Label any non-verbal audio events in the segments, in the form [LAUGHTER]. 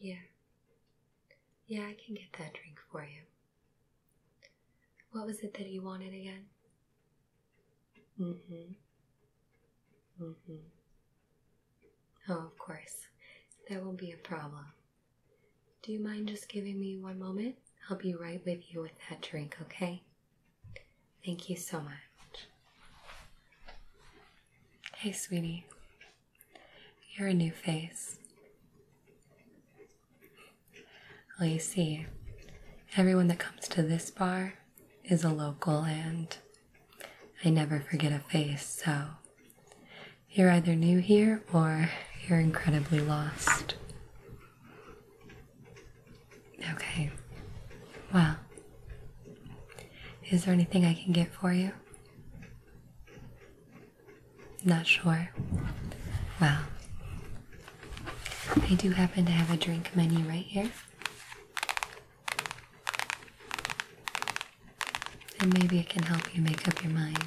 Yeah. Yeah, I can get that drink for you. What was it that you wanted again? Mm hmm. Mm hmm. Oh, of course. That won't be a problem. Do you mind just giving me one moment? I'll be right with you with that drink, okay? Thank you so much. Hey, sweetie. You're a new face. Well, you see, everyone that comes to this bar is a local, and I never forget a face, so you're either new here or you're incredibly lost. Okay. Well, is there anything I can get for you? Not sure. Well, I do happen to have a drink menu right here and maybe it can help you make up your mind.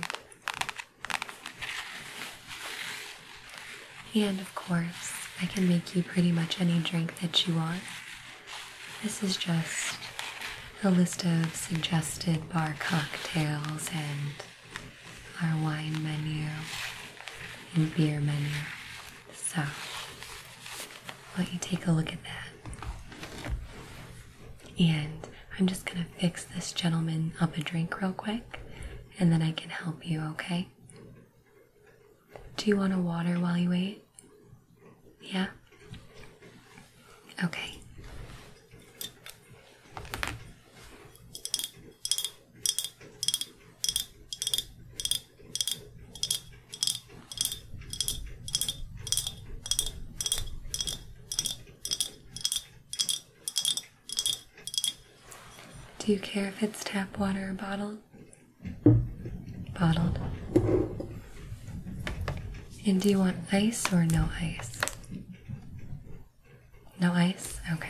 And of course, I can make you pretty much any drink that you want. This is just a list of suggested bar cocktails and our wine menu and beer menu. So, let you take a look at that? And I'm just going to fix this gentleman up a drink real quick and then I can help you, okay? Do you want a water while you wait? Yeah? Okay. Do you care if it's tap water or bottled? Bottled. And do you want ice or no ice? No ice? Okay.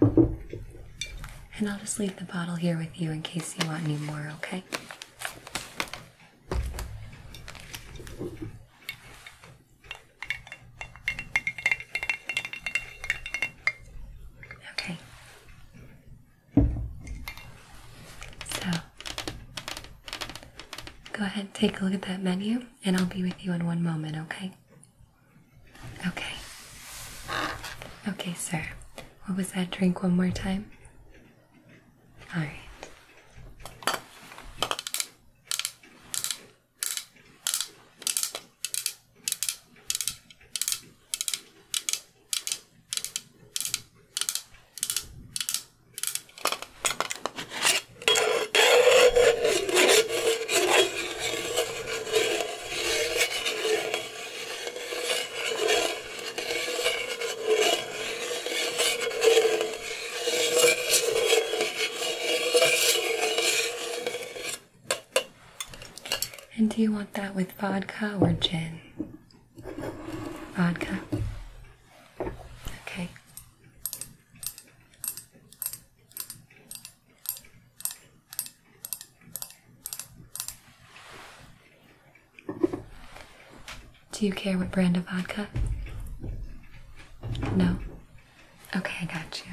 And I'll just leave the bottle here with you in case you want any more, okay? Okay. So, go ahead and take a look at that menu and I'll be with you in one moment, okay? Okay. Okay, sir. What was that drink one more time? All right. And do you want that with vodka or gin? Vodka. Okay. Do you care what brand of vodka? No? Okay, I got you.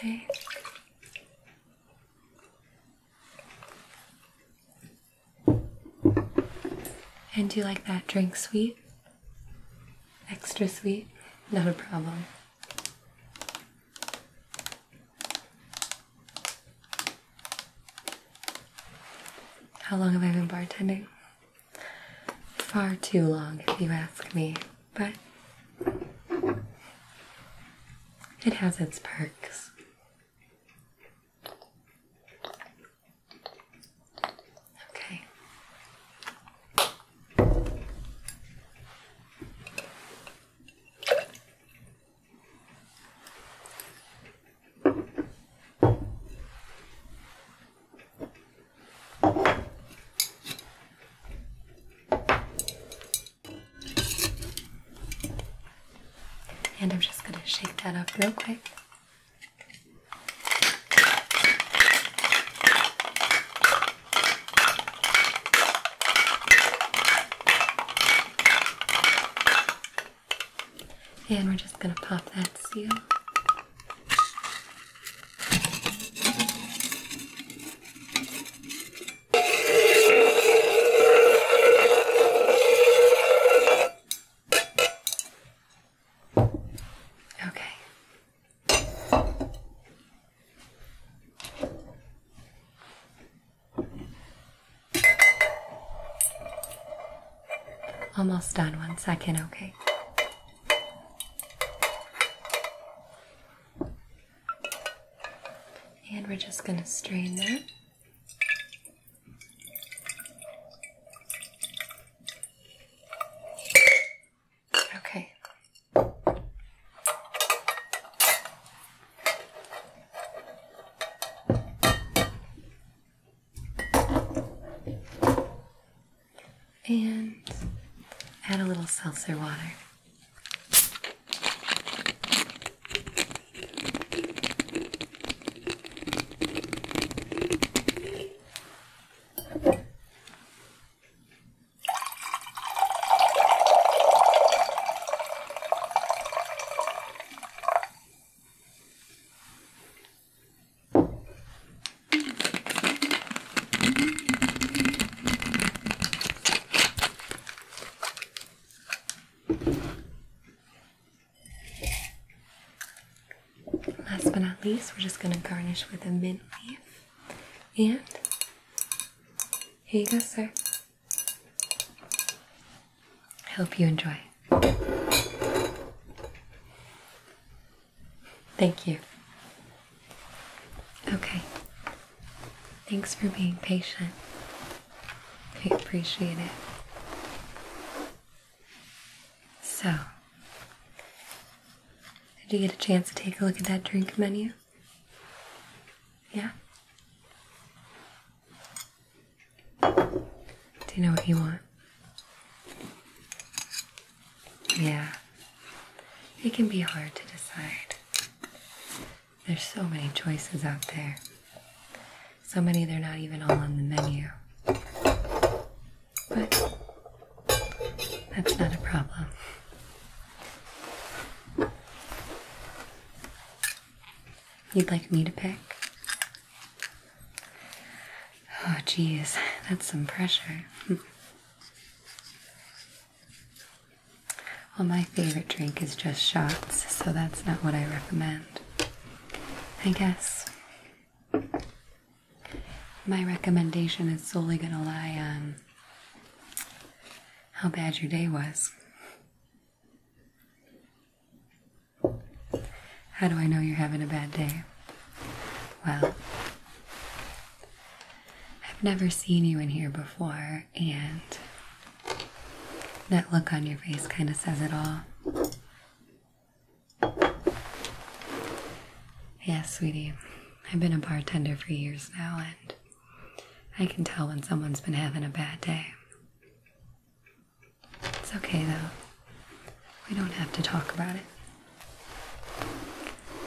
Okay. And do you like that drink sweet? Extra sweet? Not a problem. How long have I been bartending? Far too long, if you ask me, but it has its perks. Okay. And I'm just going to shake that up real quick. And we're just going to pop that seal. Okay. Almost done. One second, okay. And we're just going to strain that. Okay. And add a little seltzer water. Last but not least, we're just going to garnish with a mint leaf. And here you go, sir. I hope you enjoy. Thank you. Okay. Thanks for being patient. I appreciate it. So, did you get a chance to take a look at that drink menu? Yeah? Do you know what you want? Yeah, it can be hard to decide. There's so many choices out there. So many they're not even all on the menu. But that's not a problem. You'd like me to pick? Oh, geez, that's some pressure. [LAUGHS] well, my favorite drink is just shots, so that's not what I recommend. I guess my recommendation is solely going to lie on how bad your day was. How do I know you're having a bad day? Well, I've never seen you in here before, and that look on your face kind of says it all. Yes, sweetie, I've been a bartender for years now, and I can tell when someone's been having a bad day. It's okay though. We don't have to talk about it.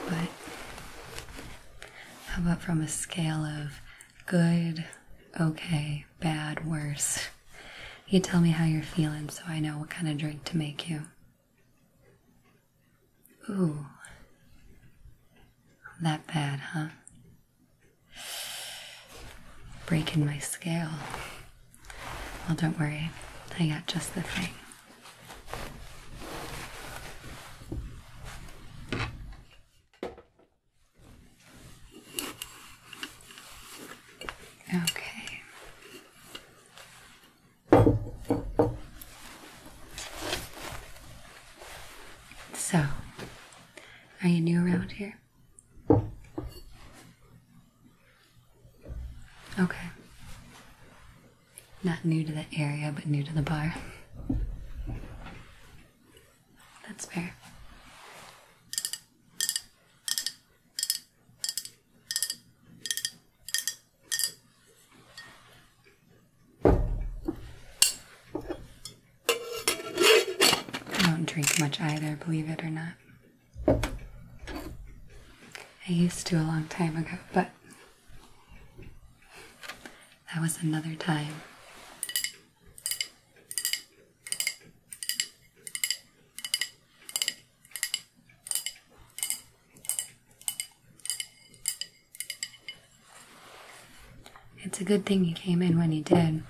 But how about from a scale of good, okay, bad, worse? You tell me how you're feeling so I know what kind of drink to make you. Ooh. That bad, huh? Breaking my scale. Well, don't worry, I got just the thing. Okay. So, are you new around here? Okay. Not new to the area, but new to the bar. That's fair. I don't drink much either, believe it or not. I used to a long time ago, but that was another time. It's a good thing you came in when you did.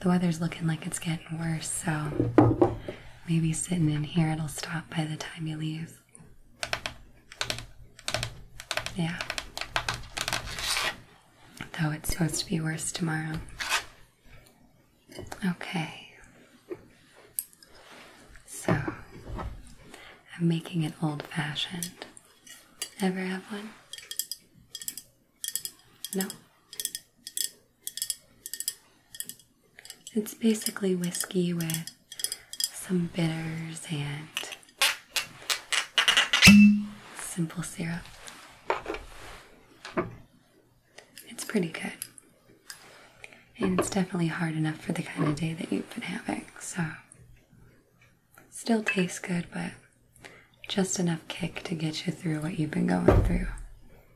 The weather's looking like it's getting worse, so maybe sitting in here it'll stop by the time you leave. Yeah. Though it's supposed to be worse tomorrow. Okay. So, I'm making an old fashioned. Ever have one? No? It's basically whiskey with some bitters and simple syrup. It's pretty good. And it's definitely hard enough for the kind of day that you've been having, so still tastes good, but just enough kick to get you through what you've been going through.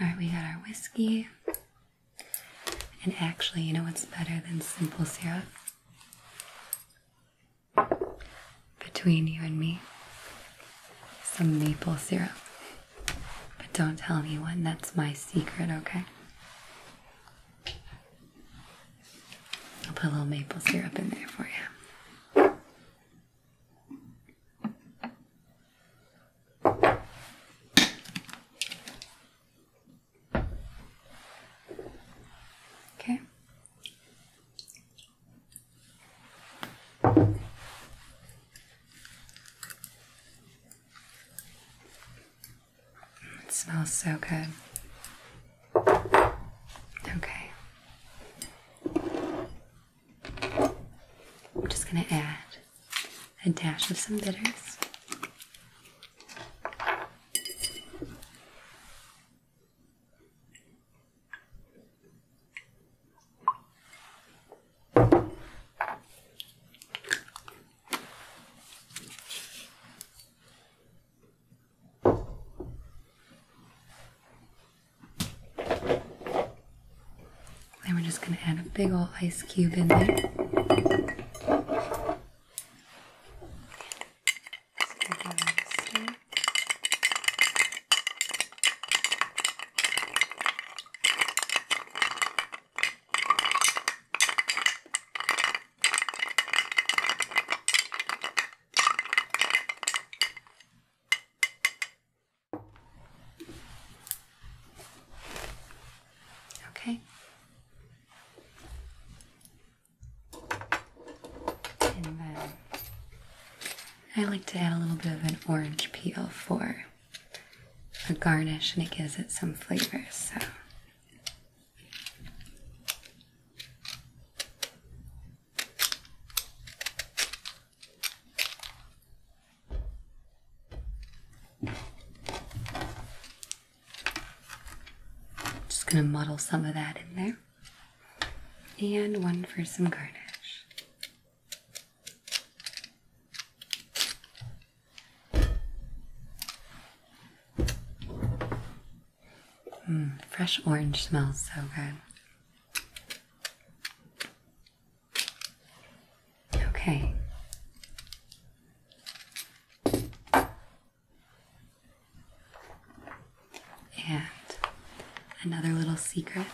Alright, we got our whiskey. And actually, you know what's better than simple syrup? Between you and me, some maple syrup. But don't tell anyone, that's my secret, okay? I'll put a little maple syrup in there for you. Okay. It smells so good. Okay. I'm just going to add a dash of some bitters. Then we're just going to add a big old ice cube in there. Okay. And then I like to add a little bit of an orange peel for a garnish and it gives it some flavor. So just going to muddle some of that in there. And one for some garnish. Mm, fresh orange smells so good. Okay. And another little secret.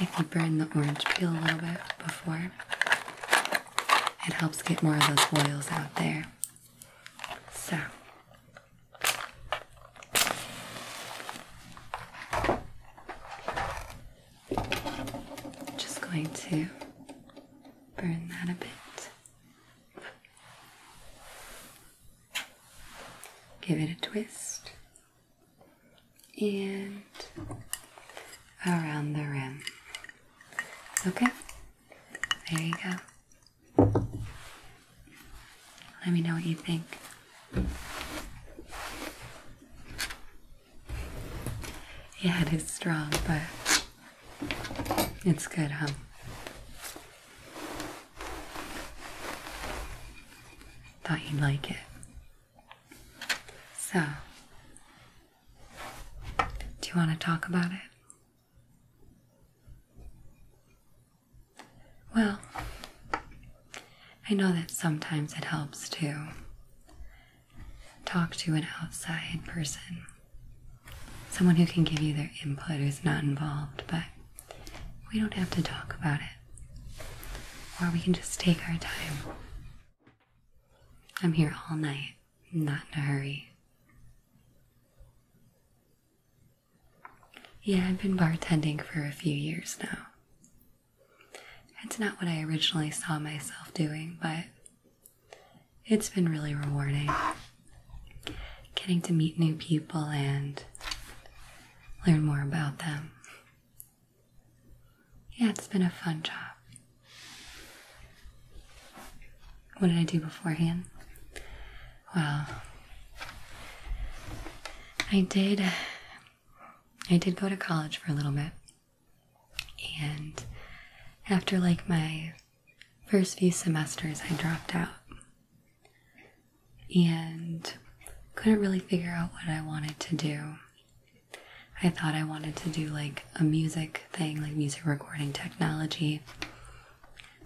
If you burn the orange peel a little bit before, it helps get more of those oils out there. So just going to burn that a bit. Give it a twist and around the rim. Okay? There you go. Let me know what you think. Yeah, it is strong, but it's good, huh? Thought you'd like it. So, do you want to talk about it? Well, I know that sometimes it helps to talk to an outside person, someone who can give you their input who's not involved, but we don't have to talk about it. Or we can just take our time. I'm here all night. Not in a hurry. Yeah, I've been bartending for a few years now. It's not what I originally saw myself doing, but it's been really rewarding. Getting to meet new people and learn more about them. Yeah, it's been a fun job. What did I do beforehand? Well, I did. I did go to college for a little bit, and after like my first few semesters, I dropped out and couldn't really figure out what I wanted to do. I thought I wanted to do like a music thing, like music recording technology.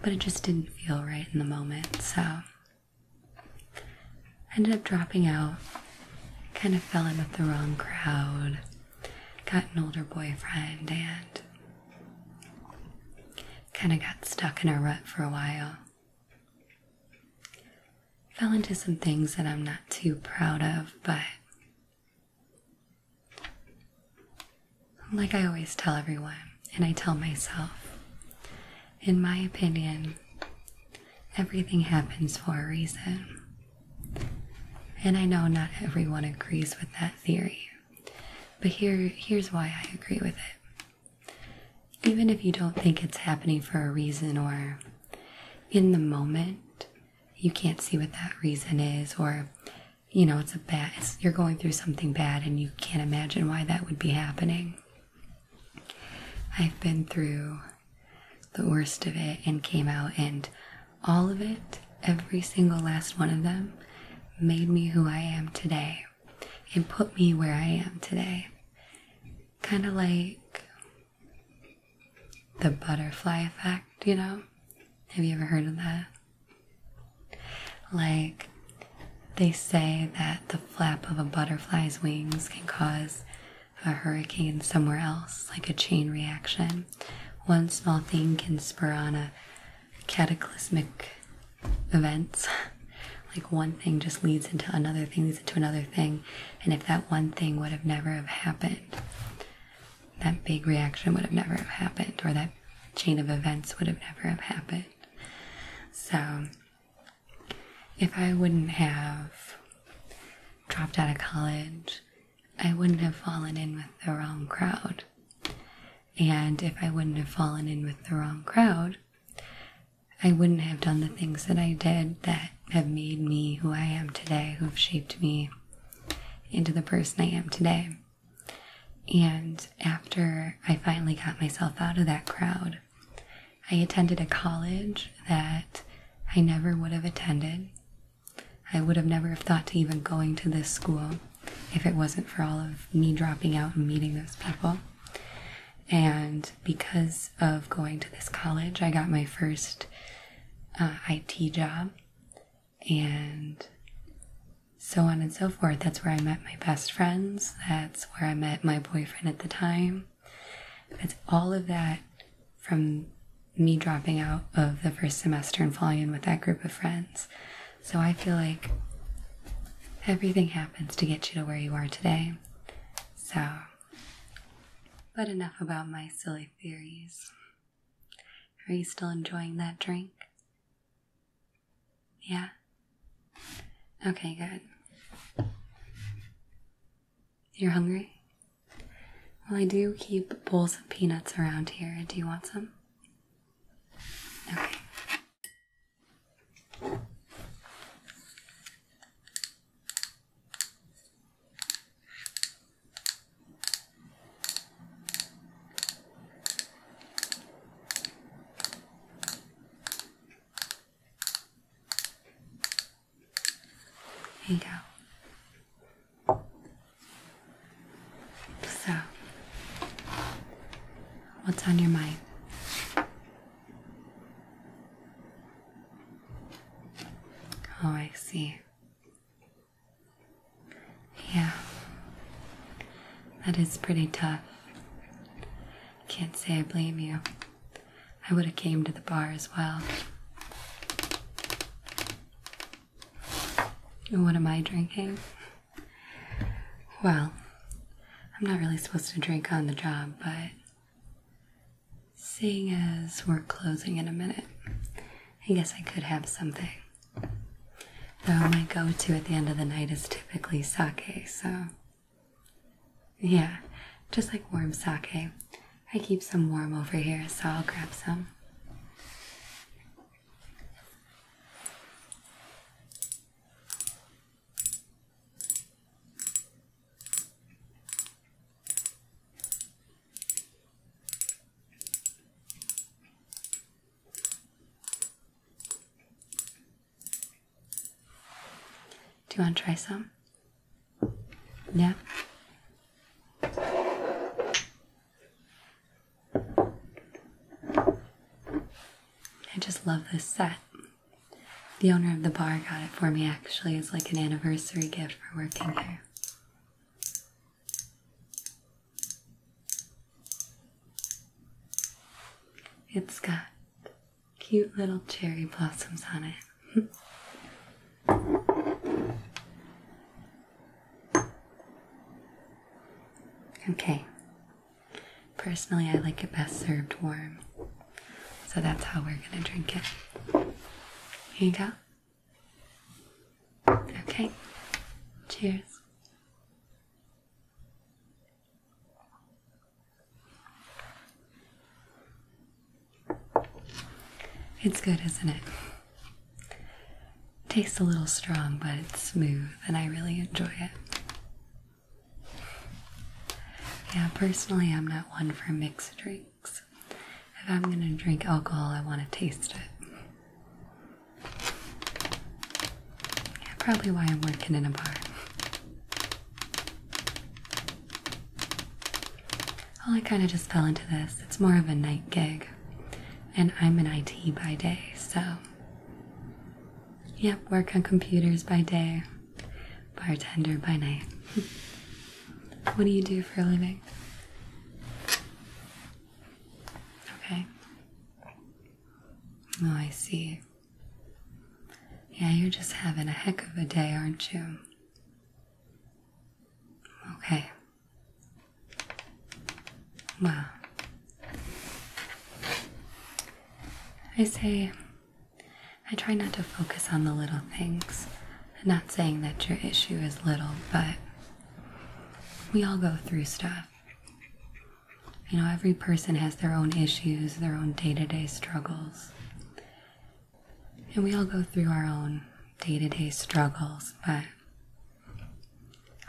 But it just didn't feel right in the moment, so I ended up dropping out. Kind of fell in with the wrong crowd. Got an older boyfriend and kind of got stuck in a rut for a while. Fell into some things that I'm not too proud of, but like I always tell everyone, and I tell myself, in my opinion, everything happens for a reason. And I know not everyone agrees with that theory, but here, here's why I agree with it. Even if you don't think it's happening for a reason, or in the moment, you can't see what that reason is, or you know it's a bad you're going through something bad and you can't imagine why that would be happening i've been through the worst of it and came out and all of it every single last one of them made me who i am today and put me where i am today kind of like the butterfly effect you know have you ever heard of that like, they say that the flap of a butterfly's wings can cause a hurricane somewhere else, like a chain reaction. One small thing can spur on a cataclysmic events. [LAUGHS] like one thing just leads into another thing, leads into another thing, and if that one thing would have never have happened, that big reaction would have never have happened or that chain of events would have never have happened so if i wouldn't have dropped out of college i wouldn't have fallen in with the wrong crowd and if i wouldn't have fallen in with the wrong crowd i wouldn't have done the things that i did that have made me who i am today who have shaped me into the person i am today and after I finally got myself out of that crowd, I attended a college that I never would have attended. I would have never have thought to even going to this school if it wasn't for all of me dropping out and meeting those people. And because of going to this college, I got my first uh, IT job and so on and so forth. That's where I met my best friends. That's where I met my boyfriend at the time. That's all of that from me dropping out of the first semester and falling in with that group of friends. So I feel like everything happens to get you to where you are today. So, but enough about my silly theories. Are you still enjoying that drink? Yeah? Okay, good. You're hungry? Well, I do keep bowls of peanuts around here. Do you want some? Okay. Here you go. So, what's on your mind? Oh, I see. Yeah, that is pretty tough. Can't say I blame you. I would have came to the bar as well. And what am I drinking? Well, I'm not really supposed to drink on the job, but seeing as we're closing in a minute, I guess I could have something. Though my go to at the end of the night is typically sake, so. Yeah, just like warm sake. I keep some warm over here, so I'll grab some. Do you want to try some? Yeah. I just love this set. The owner of the bar got it for me actually as like an anniversary gift for working here. It's got cute little cherry blossoms on it. [LAUGHS] okay. Personally, I like it best served warm. So that's how we're going to drink it. Here you go. Okay. Cheers. It's good, isn't it? Tastes a little strong, but it's smooth, and I really enjoy it. Yeah, personally, I'm not one for mixed drinks. If I'm gonna drink alcohol, I want to taste it. Yeah, probably why I'm working in a bar. Well, I kind of just fell into this. It's more of a night gig, and I'm an IT by day, so. Yep, work on computers by day, bartender by night. [LAUGHS] what do you do for a living? Okay. Oh, I see. Yeah, you're just having a heck of a day, aren't you? Okay. Wow. I say, I try not to focus on the little things. I'm not saying that your issue is little, but we all go through stuff. You know, every person has their own issues, their own day to day struggles. And we all go through our own day to day struggles, but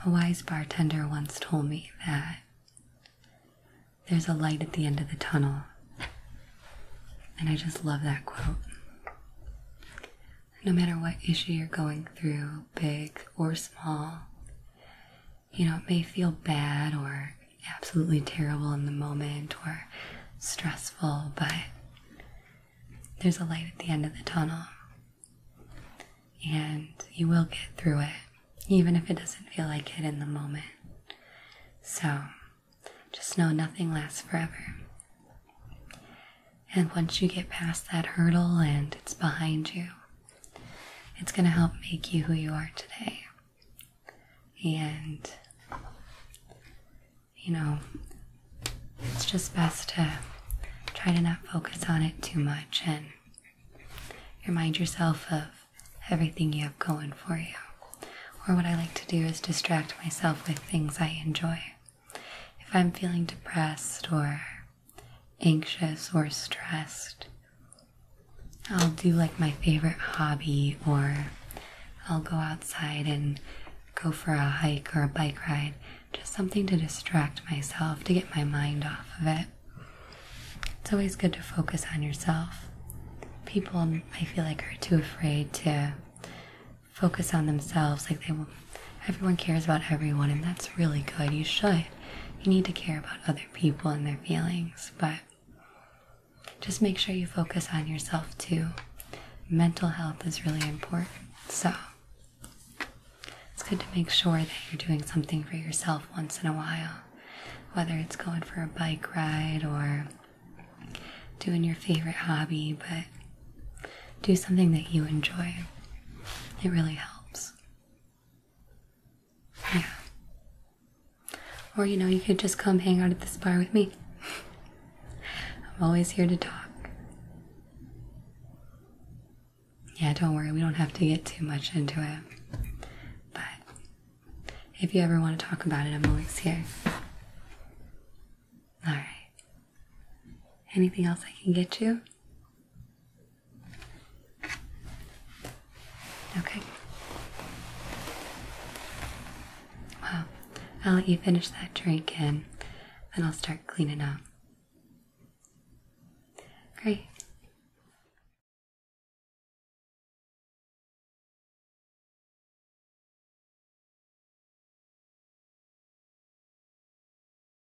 a wise bartender once told me that there's a light at the end of the tunnel. And I just love that quote no matter what issue you're going through, big or small. You know, it may feel bad or absolutely terrible in the moment or stressful, but there's a light at the end of the tunnel. And you will get through it, even if it doesn't feel like it in the moment. So, just know nothing lasts forever. And once you get past that hurdle and it's behind you, it's going to help make you who you are today. And, you know, it's just best to try to not focus on it too much and remind yourself of everything you have going for you. Or what I like to do is distract myself with things I enjoy. If I'm feeling depressed or anxious or stressed, I'll do like my favorite hobby or I'll go outside and go for a hike or a bike ride, just something to distract myself, to get my mind off of it. It's always good to focus on yourself. People, I feel like, are too afraid to focus on themselves, like they will everyone cares about everyone, and that's really good. You should. You need to care about other people and their feelings, but just make sure you focus on yourself too. Mental health is really important, so it's good to make sure that you're doing something for yourself once in a while, whether it's going for a bike ride or doing your favorite hobby, but do something that you enjoy. It really helps. Yeah. Or, you know, you could just come hang out at this bar with me. I'm always here to talk. Yeah, don't worry, we don't have to get too much into it. But if you ever want to talk about it, I'm always here. Alright. Anything else I can get you? Okay. Well, I'll let you finish that drink and then I'll start cleaning up. Great.